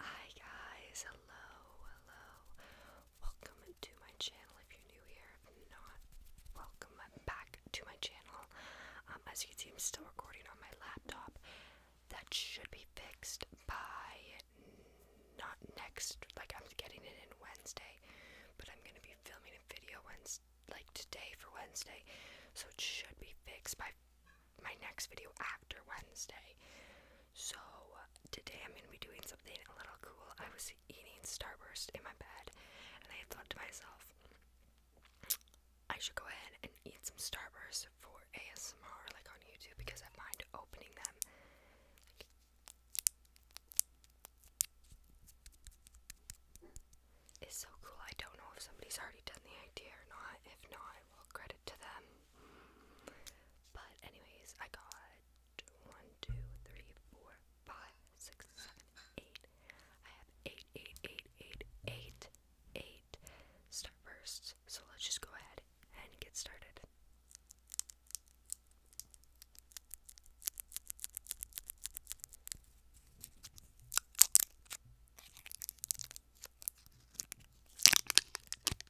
Hi guys, hello, hello. Welcome to my channel if you're new here. not, welcome back to my channel. Um, as you can see, I'm still recording on my laptop. That should be fixed by not next, like I'm getting it in Wednesday, but I'm gonna be filming a video Wednesday, like today for Wednesday, so it should be fixed by my next video after Wednesday. So today I'm gonna be doing something a little cool. I was eating Starburst in my bed, and I thought to myself, I should go ahead and eat some Starburst for ASMR, like on YouTube, because I find opening them. Like, so cool. I don't know if somebody's already done the idea or not. If not, I credit to them. But anyways, I got one, two, three, four, five, six, seven, eight. I have eight, eight, eight, eight, eight, eight starbursts. So let's just go ahead and get started.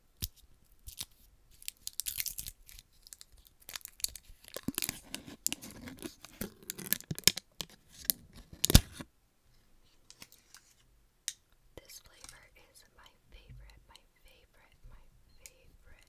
This flavor is my favorite, my favorite, my favorite.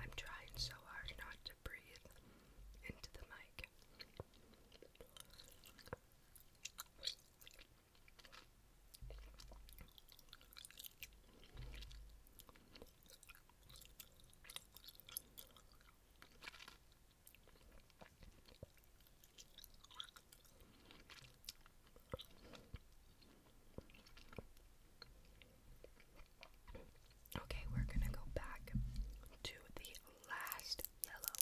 I'm trying so hard not to breathe into the mic. Okay, we're gonna go back to the last yellow.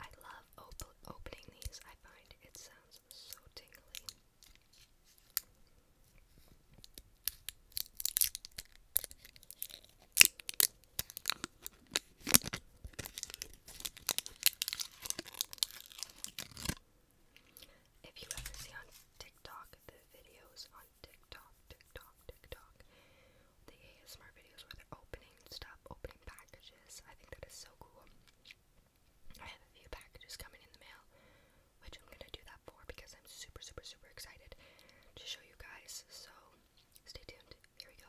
I love opening these. I find it sounds so tingly. If you ever see on TikTok the videos on TikTok, TikTok, TikTok, the ASMR videos where they're opening stuff, opening packages, I think that is so cool. I have a few packages coming in the mail, which I'm gonna do that because I'm super, super, super excited to show you guys. So stay tuned. Here we go.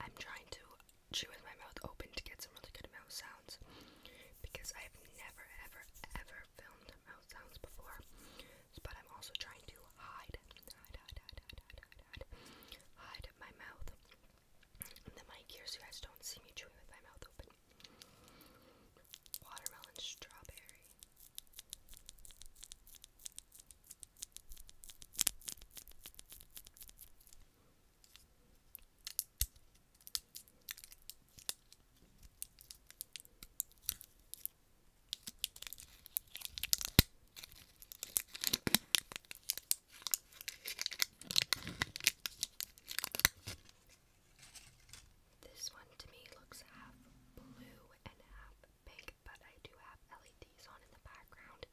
I'm trying to chew with my mouth open to get some really good mouth sounds because I have never, ever, ever filmed mouth sounds before. But I'm also trying to hide, hide, hide, hide, hide, hide, hide, my mouth. in the mic here so you guys don't see me chewing with my mouth open watermelon strawberry. This one to me looks half blue and half pink, but I do have LEDs on in the background,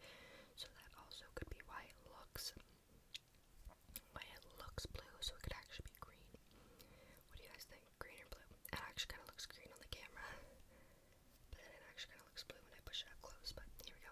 so that also could be why it looks why it looks blue, so it could actually be green. What do you guys think? Green or blue? It actually kind of looks green on the camera, but then it actually kind of looks blue when I push it up close. But here we go.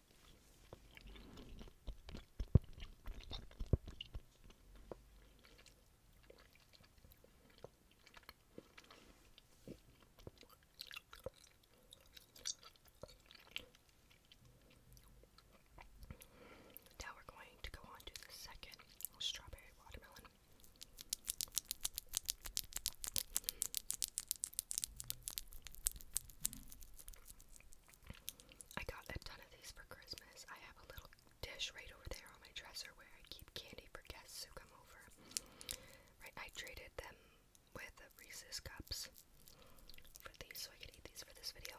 Now we're going to go on to the second strawberry watermelon. I got a ton of these for Christmas. I have a little dish right over there on my dresser where I keep candy for guests who come over. Right, I traded them with the Reese's cups for these so I could eat these for this video.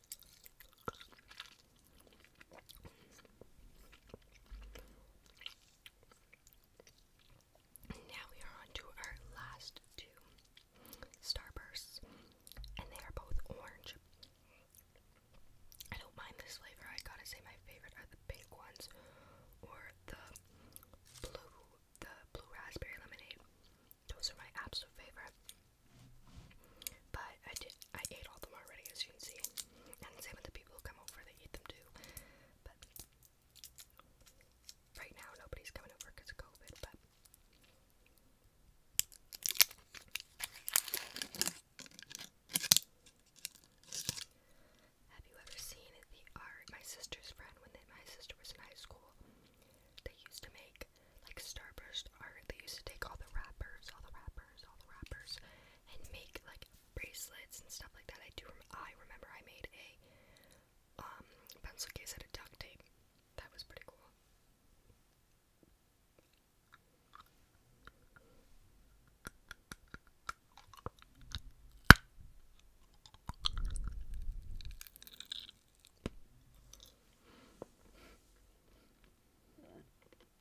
Now we are on our last two Starbursts, and they are both orange. I don't mind this flavor, I gotta say, my favorite are the pink ones or the blue, the blue raspberry lemonade. Those are my absolute favorite. But I did I ate all of them already as you can see. And same with the people who come over, they eat them too. But right now nobody's coming over COVID, but have you ever seen the art? My sister's friend, when my sister was in high school, they used to make like starburst art. They used to take all the wrappers, all the wrappers all the rappers, and make like bracelets and stuff like that. I do. I remember I made a um, pencil case out of duct tape. That was pretty cool.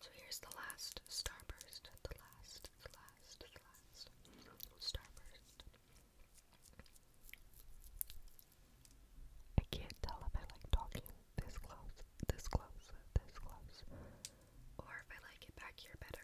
So here's the last starburst, the last, the last, the last starburst. I can't tell if I like talking this close, this close, this close, or if I like it back here better.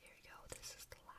Here we go, this is the last.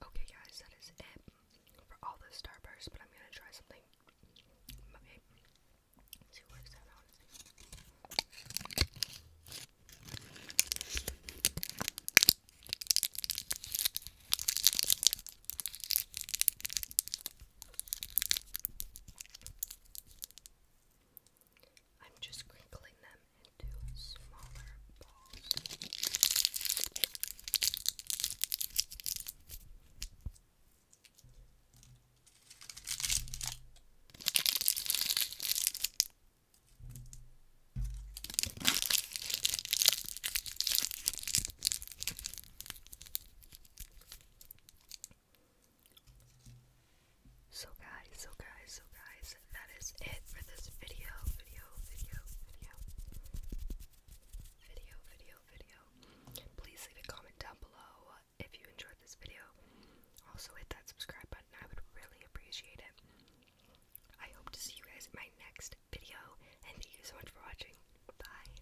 Okay, guys, that is it for all the Starburst, but I'm gonna try something. Okay. See what works out, I'm just crinkling them into smaller balls. So guys, so guys, so guys, that is it for this video, video, video, video, video, video, video. Please leave a comment down below if you enjoyed this video. Also hit that subscribe button, I would really appreciate it. I hope to see you guys in my next video, and thank you so much for watching. Bye.